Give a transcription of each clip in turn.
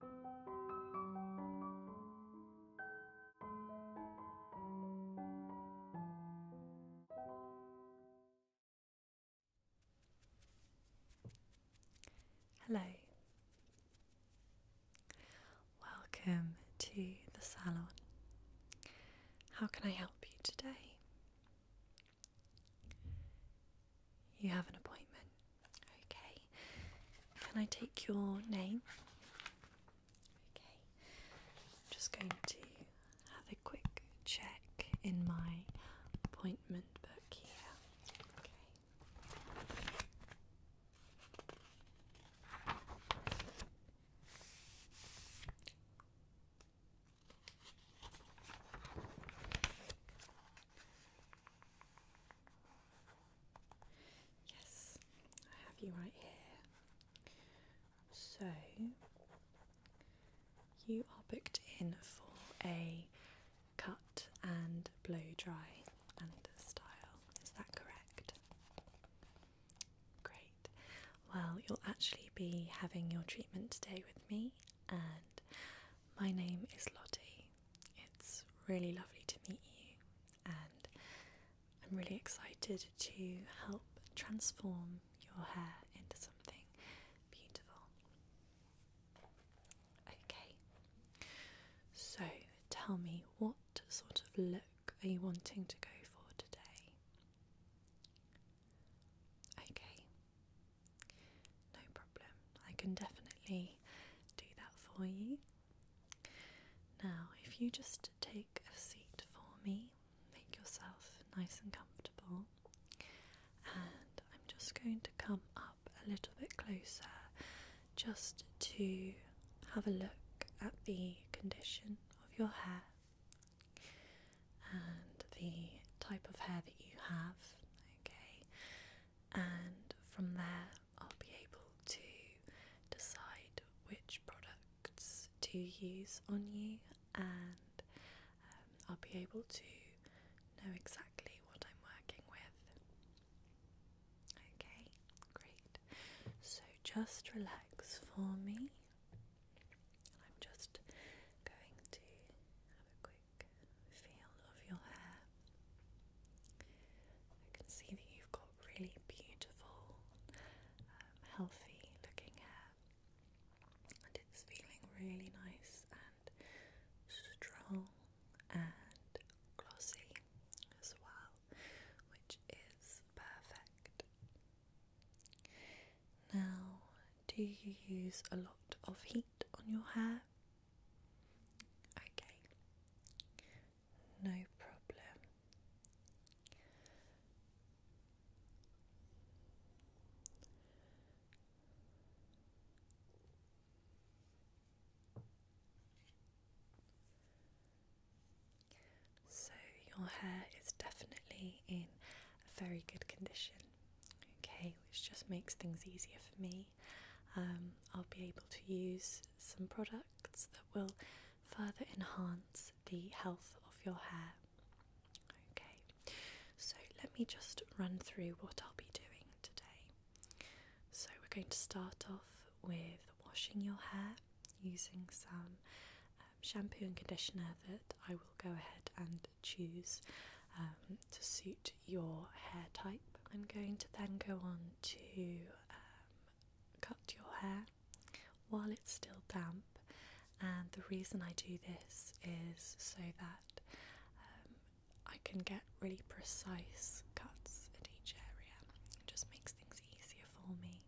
Hello. Welcome to the salon. How can I help you today? You have an appointment. Okay, can I take your name? Okay, I'm just going to have a quick check in my appointment book here. Okay. Yes, I have you right here. So, you are booked in for a cut and blow dry and style. Is that correct? Great. Well, you'll actually be having your treatment today with me, and my name is Lottie. It's really lovely to meet you, and I'm really excited to help transform your hair into something beautiful. Okay, so tell me what sort of look are you wanting to go for today? Okay, no problem. I can definitely do that for you. Now, if you just take a seat for me, make yourself nice and comfortable, and I'm just going to come up a little bit closer just to have a look at the condition of your hair and the type of hair that you have. Okay, and from there I'll be able to decide which products to use on you and um, I'll be able to know exactly what I'm working with. Okay, great. So just relax for me. I'm just going to have a quick feel of your hair. I can see that you've got really beautiful, um, healthy looking hair, and it's feeling really nice and strong and glossy as well, which is perfect. Now, do you use a lot of heat on your hair? Okay, no problem. So, your hair is definitely in a very good condition, okay, which just makes things easier for me um, I'll be able to use some products that will further enhance the health of your hair. Okay, so let me just run through what I'll be doing today. So, we're going to start off with washing your hair using some um, shampoo and conditioner that I will go ahead and choose um, to suit your hair type. I'm going to then go on to um, cut your hair while it's still damp, and the reason I do this is so that um, I can get really precise cuts in each area. It just makes things easier for me.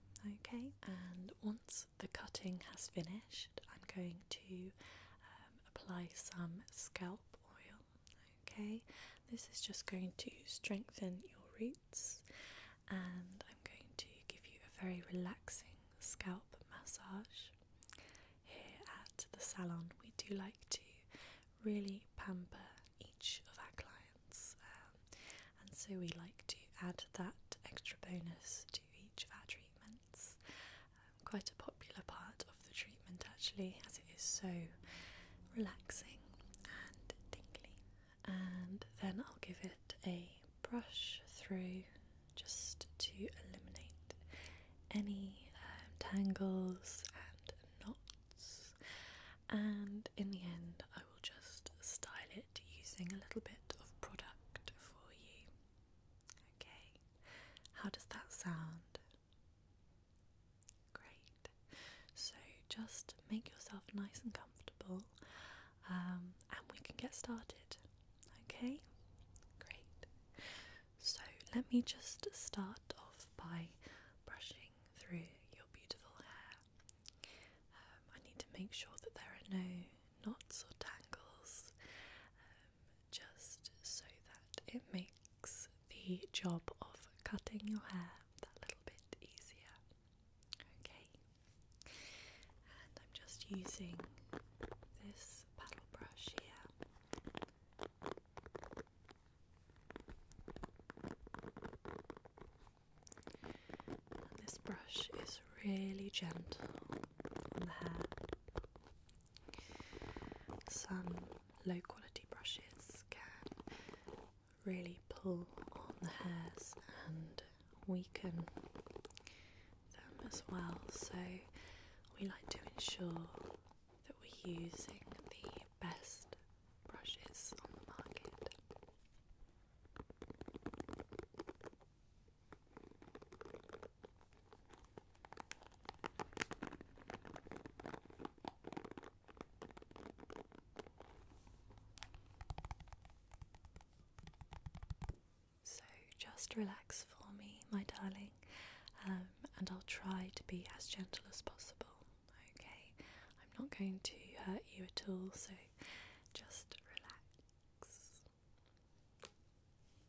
Okay, and once the cutting has finished, I'm going to um, apply some scalp oil Okay, this is just going to strengthen your roots, and I'm going to give you a very relaxing scalp massage. Here at the salon, we do like to really pamper each of our clients, um, and so we like to add that extra bonus to each of our treatments quite a popular part of the treatment actually, as it is so relaxing and tingly. And then I'll give it a brush through just to eliminate any um, tangles and knots. And in the end, I will just style it using a little bit of product for you. Okay, how does that sound? Great. So just make yourself nice and comfortable um, and we can get started. Okay? Great. So let me just start off by brushing through your beautiful hair. Um, I need to make sure that there are no knots or tangles just so that it makes the job of cutting your hair that little bit easier. Okay, and I'm just using this paddle brush here. this brush is really gentle on hair. Some low quality brushes can really pull on the hairs and weaken them as well, so we like to ensure that we're using the best brushes on the market. So just relax for me, my darling, um, and I'll try to be as gentle as possible. Okay, I'm not going to hurt you at all, so just relax.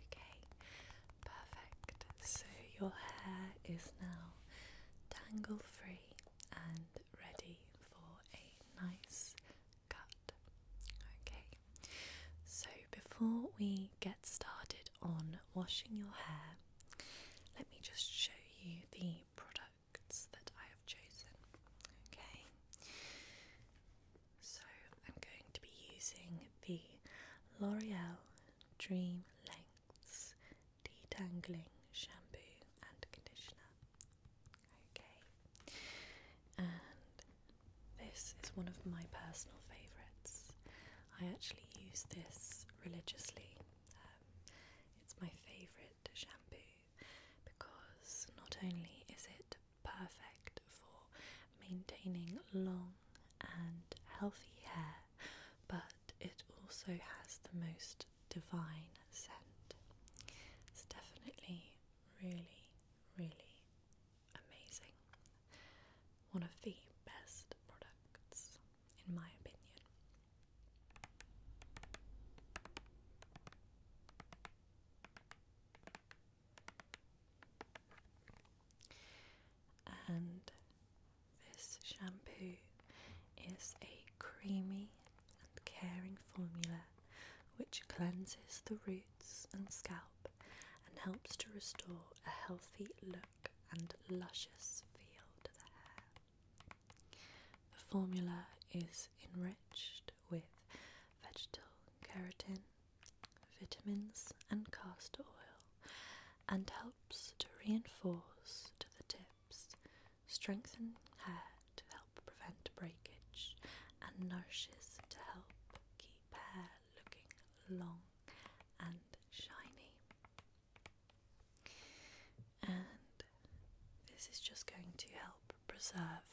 Okay, perfect. So your hair is now tangle free and ready for a nice Okay, so before we get started on washing your hair, let me just show you the products that I have chosen. Okay, so I'm going to be using the L'Oreal Dream Lengths Detangling Shampoo and Conditioner. Okay. And this is one of my personal favourites. I actually use this religiously. Um, it's my favourite shampoo because not only is it perfect for maintaining long and healthy hair, but it also has the most divine scent. It's definitely really, really amazing. One of the best products, in my opinion. And this shampoo is a creamy and caring formula which cleanses the roots and scalp and helps to restore a healthy look and luscious feel to the hair. The formula is enriched with vegetable keratin, vitamins, and castor oil, and helps to reinforce to the tips, strengthen hair, to help prevent breakage and nourishes to help keep hair looking long and shiny. And this is just going to help preserve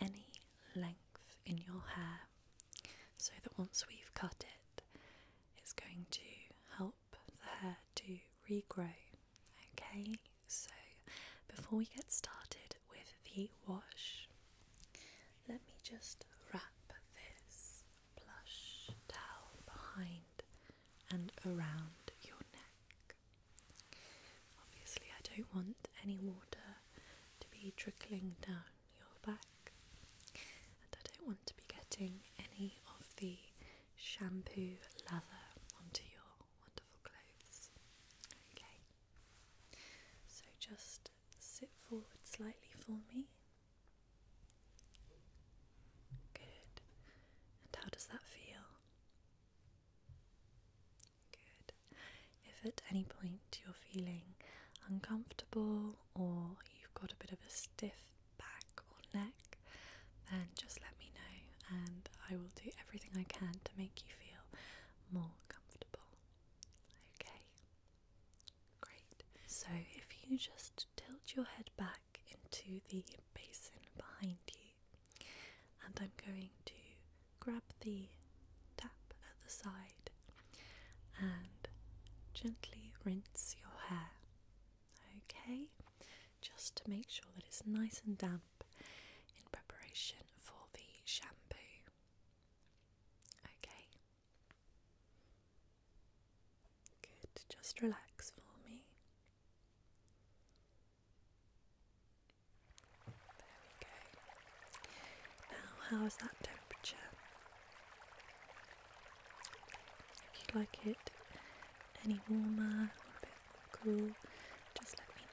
any length in your hair so that once we've cut it, it's going to help the hair to regrow. Okay, so, before we get started with the wash, let me just wrap this plush towel behind and around your neck. Obviously, I don't want any water to be trickling down your back, and I don't want to be getting any of the shampoo lather onto your wonderful clothes. Okay, so just sit forward slightly for me. Good. And how does that feel? Good. If at any point you're feeling uncomfortable or you've got a bit of a stiff back or neck, then just let me know and I will do everything I can to make you feel more comfortable. Okay, great. So if you just tilt your head back into the basin behind you, and I'm going to grab the tap at the side and gently rinse your hair. Okay, just to make sure that it's nice and damp in preparation for the shampoo. Okay. Good, just relax for me. There we go. Now, how is that temperature? If you like it any warmer cool, just let me know. Alright.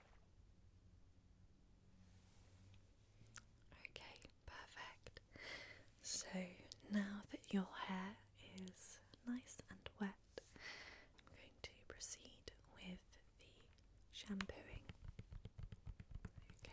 Okay, perfect. So now that your hair is nice and wet, I'm going to proceed with the shampooing. Okay.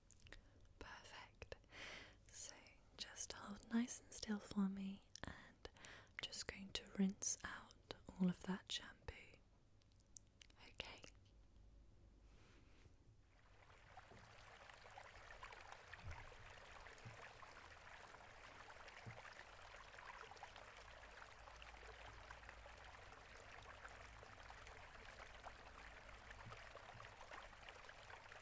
Perfect. So just hold nice and still for me, and I'm just going to rinse out all of that shampoo. Okay.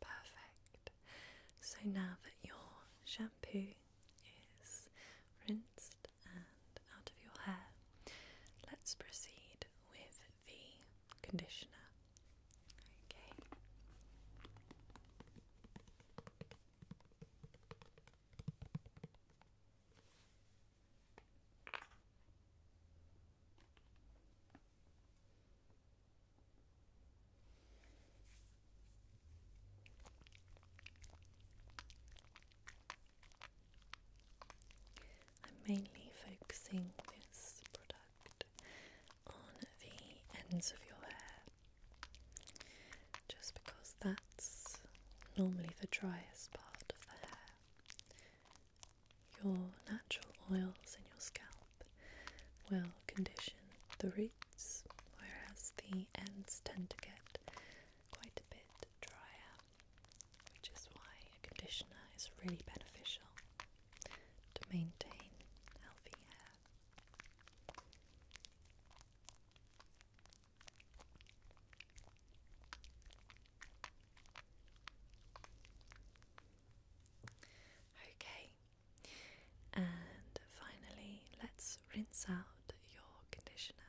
Perfect. So now that your shampoo is rinsed out of your hair. Let's proceed with the conditioner. Okay. I'm mainly focusing this product on the ends of your hair just because that's normally the driest part of the hair. Your natural oils in your scalp will condition the roots, whereas the ends tend to get quite a bit drier which is why a conditioner is really beneficial to maintain healthy hair. Okay, and finally, let's rinse out your conditioner.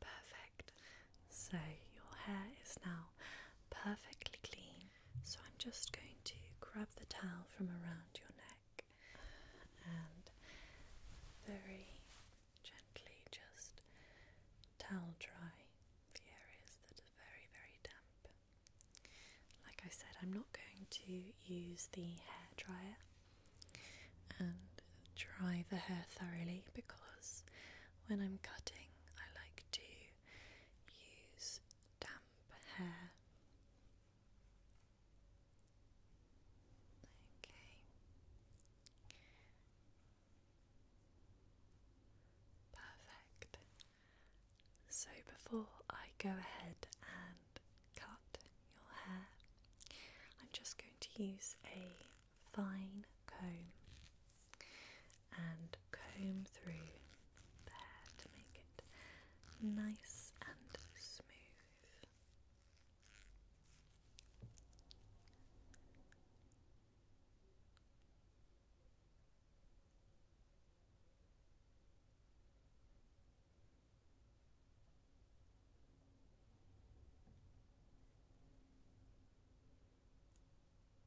Perfect. So your hair is now perfectly clean so I'm just going to grab the towel from around your neck and very gently just towel dry the areas that are very, very damp. Like I said, I'm not going to use the hair dryer and dry the hair thoroughly because when I'm cutting, I like to use damp hair. Okay. Perfect. So before I go ahead and cut your hair, I'm just going to use a fine comb and comb through the hair to make it nice and smooth.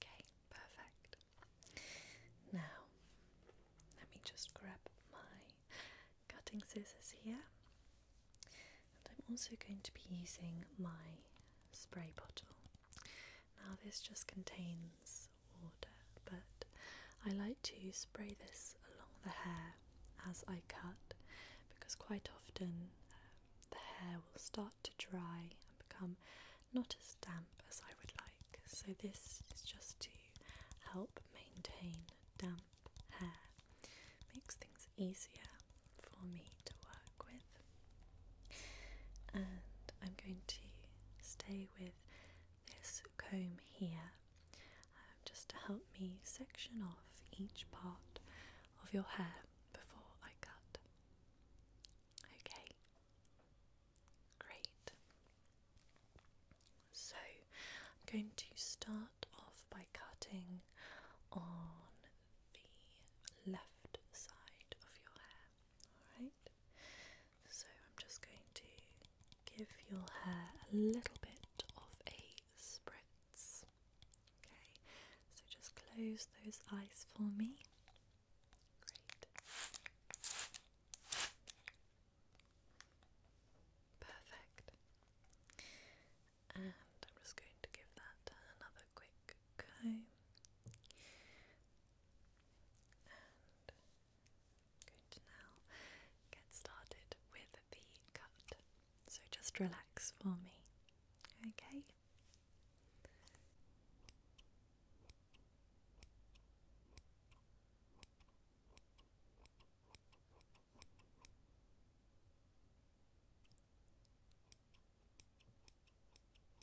Okay, perfect. Now, let me just grab my cutting scissors here, and I'm also going to be using my spray bottle. Now, this just contains water, but I like to spray this along the hair as I cut because quite often um, the hair will start to dry and become not as damp as I would like. So, this is just to help maintain damp hair, makes things easier for me to work with. And I'm going to stay with this comb here um, just to help me section off each part of your hair before I cut. Okay, great. So I'm going to start off by cutting on the left side of your hair. Alright. So I'm just going to give your hair a little bit of a spritz. Okay, so just close those eyes for me. Great. Perfect. And I'm just going to give that another quick comb i now get started with the cut. So just relax for me, Okay,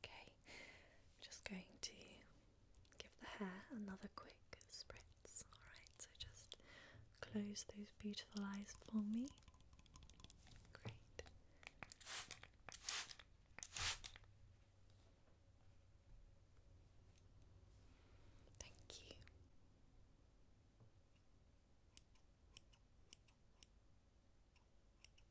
Okay, I'm just going to give the hair another quick spritz. Alright, so just close those beautiful eyes for me. Great. Thank you.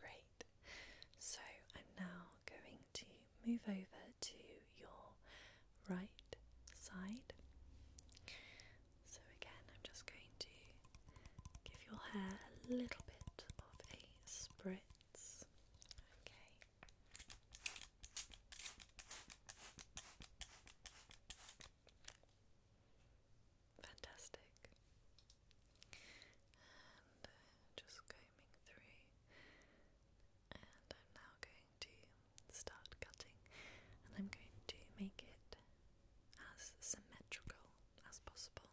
Great. So I'm now going to move over to your right side. So again, I'm just going to give your hair a little bit of a spritz. Okay. Fantastic. And uh, just combing through, and I'm now going to start cutting, and I'm going to make it as symmetrical as possible.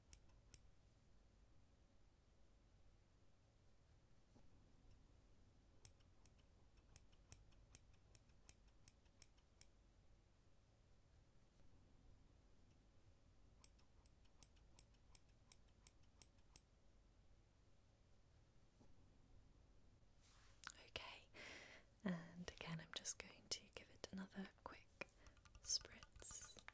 Okay, and again, I'm just going to give it another quick spritz.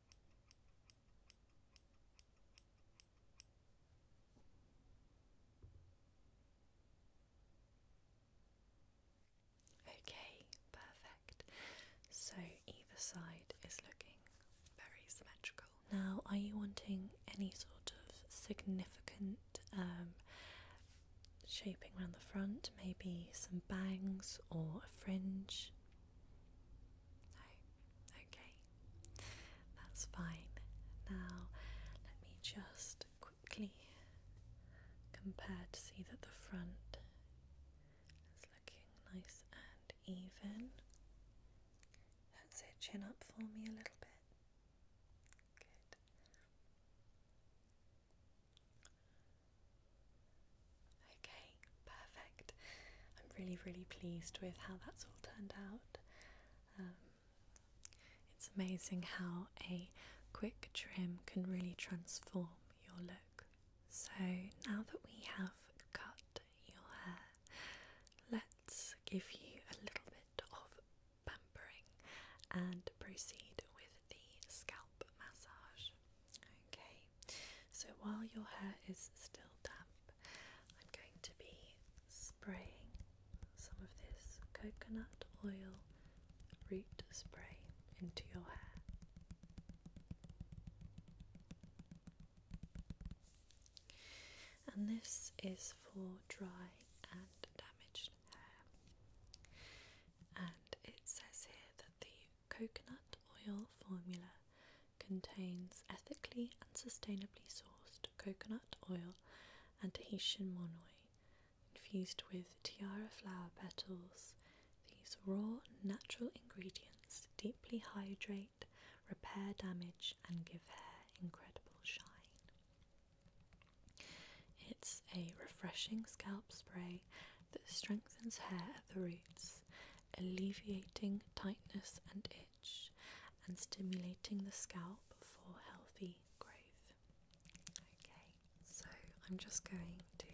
Okay, perfect. So either side is looking very symmetrical. Now, are you wanting any sort of significant um, shaping around the front? Maybe some bangs or a fringe? No? Okay. That's fine. Now, let me just quickly compare to see that the front is looking nice and even. That's it, chin up for me a little bit. Good. Okay, perfect. I'm really, really pleased with how that's all turned out. Um, it's amazing how a quick trim can really transform your look. So, now that we have cut your hair, let's give you a little bit of pampering and proceed with the scalp massage. Okay, so while your hair is still damp, I'm going to be spraying some of this coconut oil root spray into your hair. And this is for dry and damaged hair. And it says here that the coconut oil formula contains ethically and sustainably sourced coconut oil and Tahitian monoi infused with tiara flower petals. These raw, natural ingredients deeply hydrate, repair damage, and give hair incredible shine. It's a refreshing scalp spray that strengthens hair at the roots alleviating tightness and itch, and stimulating the scalp for healthy growth. Okay, so I'm just going to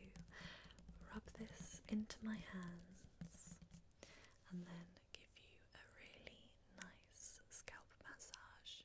rub this into my hands and then give you a really nice scalp massage.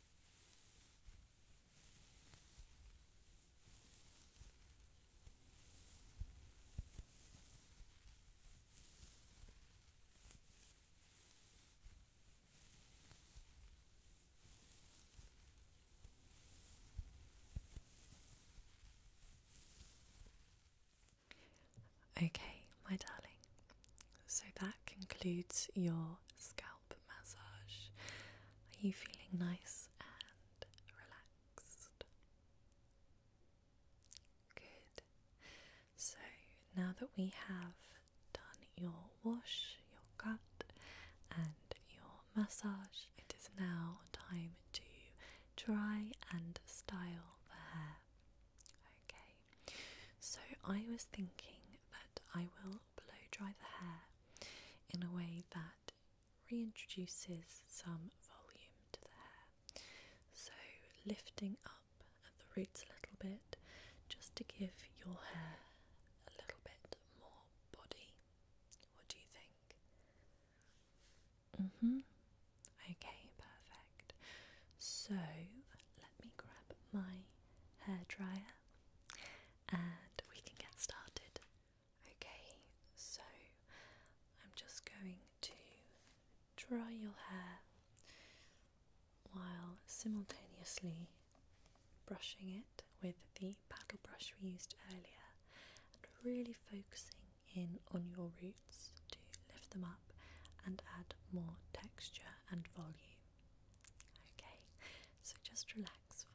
Okay, my darling, so that concludes your scalp massage. Are you feeling nice and relaxed? Good. So now that we have done your wash, your cut, and your massage, it is now time to dry and style the hair. Okay, so I was thinking that I will blow dry the hair in a way that reintroduces some volume to the hair. So lifting up at the roots a little bit just to give your hair a little bit more body. What do you think? Mhm. Mm okay, perfect. So let me grab my hair and we can get started. Okay, so I'm just going to dry your hair while simultaneously brushing it with the paddle brush we used earlier and really focusing in on your roots to lift them up and add more texture and volume. Okay, so just relax for me.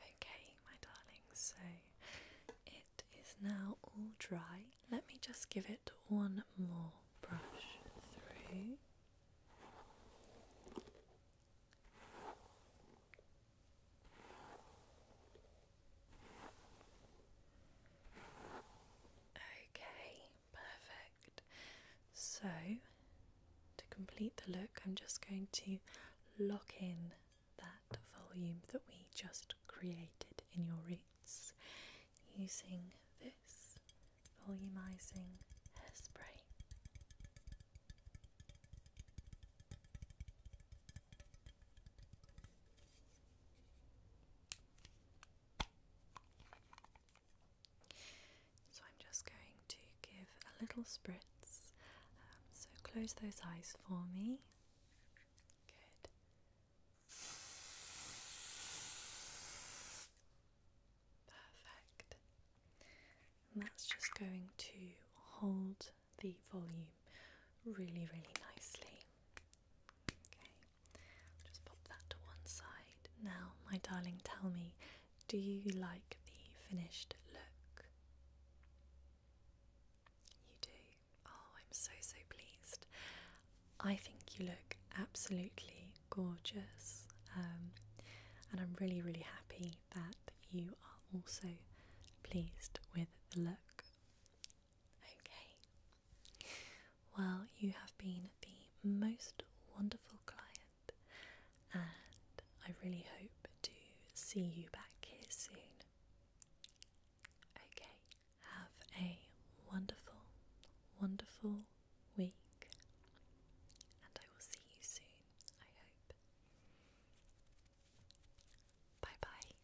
Okay, my darling, so it is now all dry. Let me just give it one more brush through. Okay, perfect. So, to complete the look, I'm just going to lock in that volume that we just created in your roots using this volumizing spray. So I'm just going to give a little spritz um, so close those eyes for me. Good. Perfect. And that's just going to hold the volume really, really nicely. Okay, just pop that to one side. Now, my darling, tell me do you like the finished look? You do. Oh, I'm so, so pleased. I think you look absolutely gorgeous. Um, and I'm really, really happy that you are also pleased with the look. Okay. Well, you have been the most wonderful client and I really hope to see you back here soon. Okay, have a wonderful, wonderful week, and I will see you soon, I hope. Bye bye.